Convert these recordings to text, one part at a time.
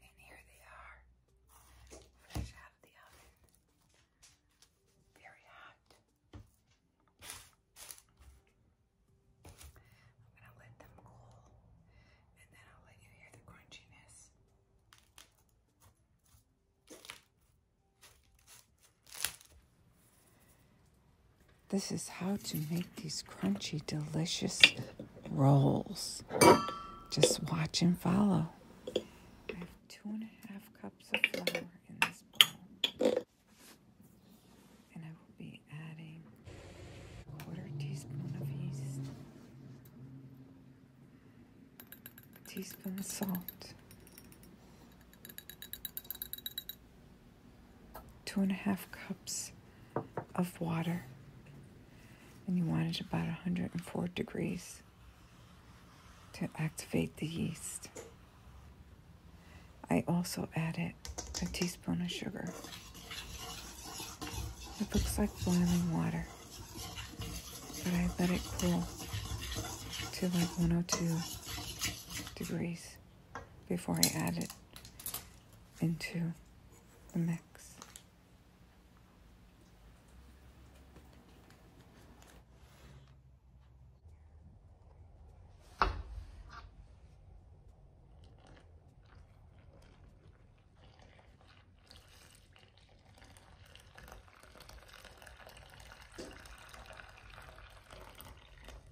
And here they are, fresh out of the oven, very hot. I'm gonna let them cool, and then I'll let you hear the crunchiness. This is how to make these crunchy, delicious rolls. Just watch and follow. I have two and a half cups of flour in this bowl. And I will be adding a quarter teaspoon of yeast, a teaspoon of salt, two and a half cups of water, and you want it about 104 degrees to activate the yeast. I also added a teaspoon of sugar. It looks like boiling water, but I let it cool to like 102 degrees before I add it into the mix.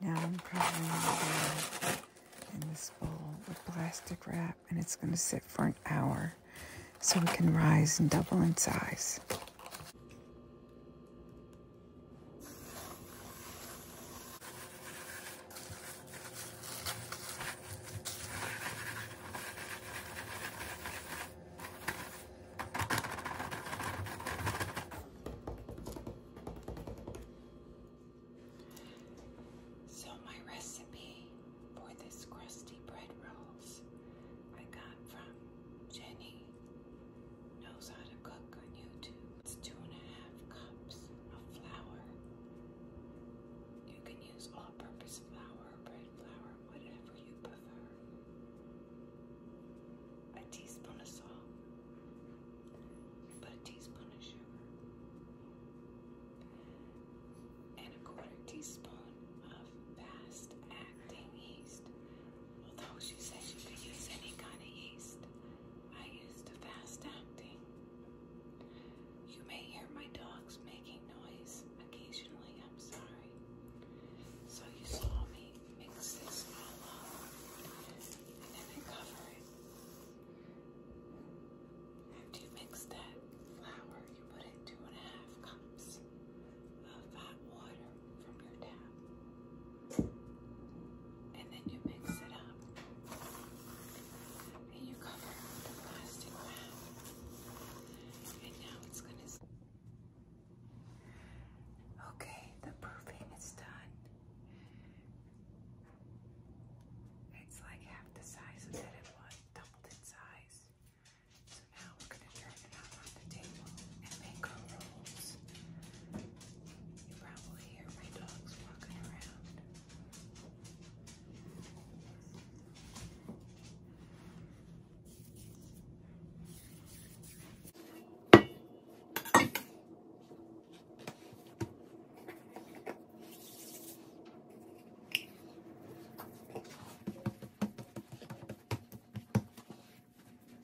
Now I'm covering the bag in this bowl with plastic wrap and it's going to sit for an hour so it can rise and double in size. So, my recipe for this crusty bread rolls I got from Jenny Knows How to Cook on YouTube. It's two and a half cups of flour. You can use all-purpose flour, bread flour, whatever you prefer. A teaspoon of salt, but a teaspoon of sugar, and a quarter teaspoon of fast-acting yeast. Although she said you could use any kind of yeast, I used fast acting. You may hear my dogs making noise occasionally, I'm sorry. So you saw me mix this all up and then cover it. After you mix that flour, you put in two and a half cups of hot water from your tap and then you mix it up and you cover it with plastic wrap. And now it's going to. Okay, the proofing is done. It's like half the size that it was, doubled in size. So now we're going to turn it out on the table and make rolls. You probably hear my dogs walking around.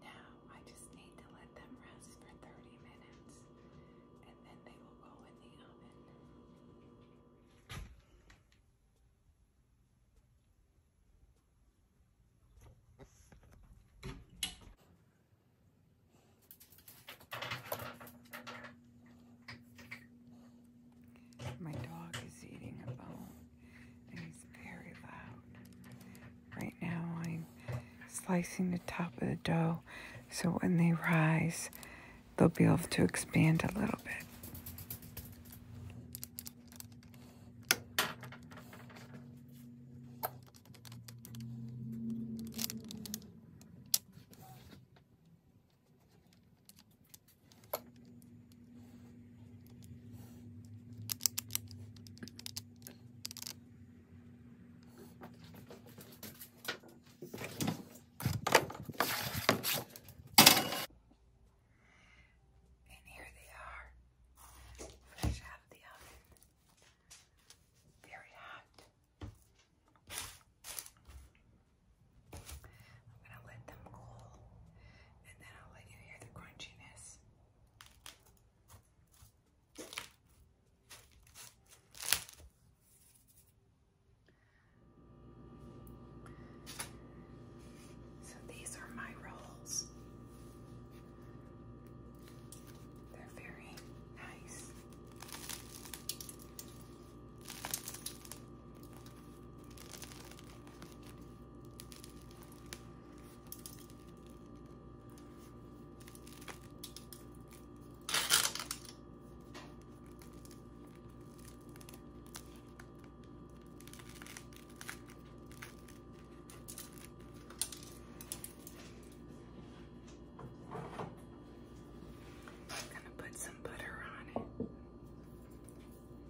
Now I just need to let them rest for 30 minutes and then they will go in the oven. My dog is eating a bone he's very loud. Right now I'm slicing the top of the dough so when they rise, they'll be able to expand a little bit. And here they are, fresh out of the oven, very hot. I'm going to let them cool and then I'll let you hear the crunchiness. So these are my rolls. They're very nice. I'm going to put some butter on it.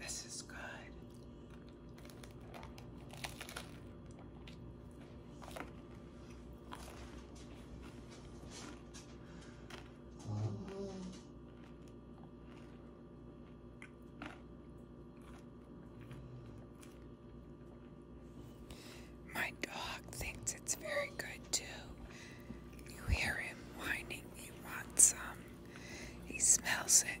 This is good. Mm-hmm. My dog thinks it's very good too. You hear him whining, he wants some. He smells it.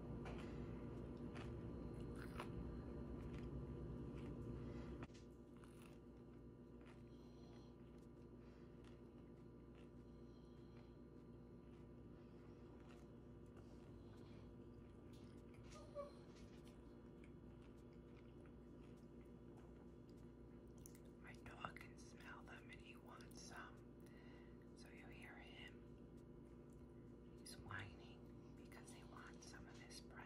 My dog can smell them and he wants some. So you hear him. He's whining because he wants some of his bread.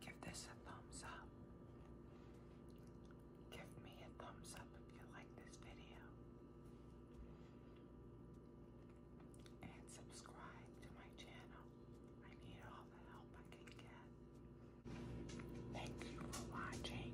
Give this a thumbs up. Give me a thumbs up if you like this video. And subscribe to my channel. I need all the help I can get. Thank you for watching.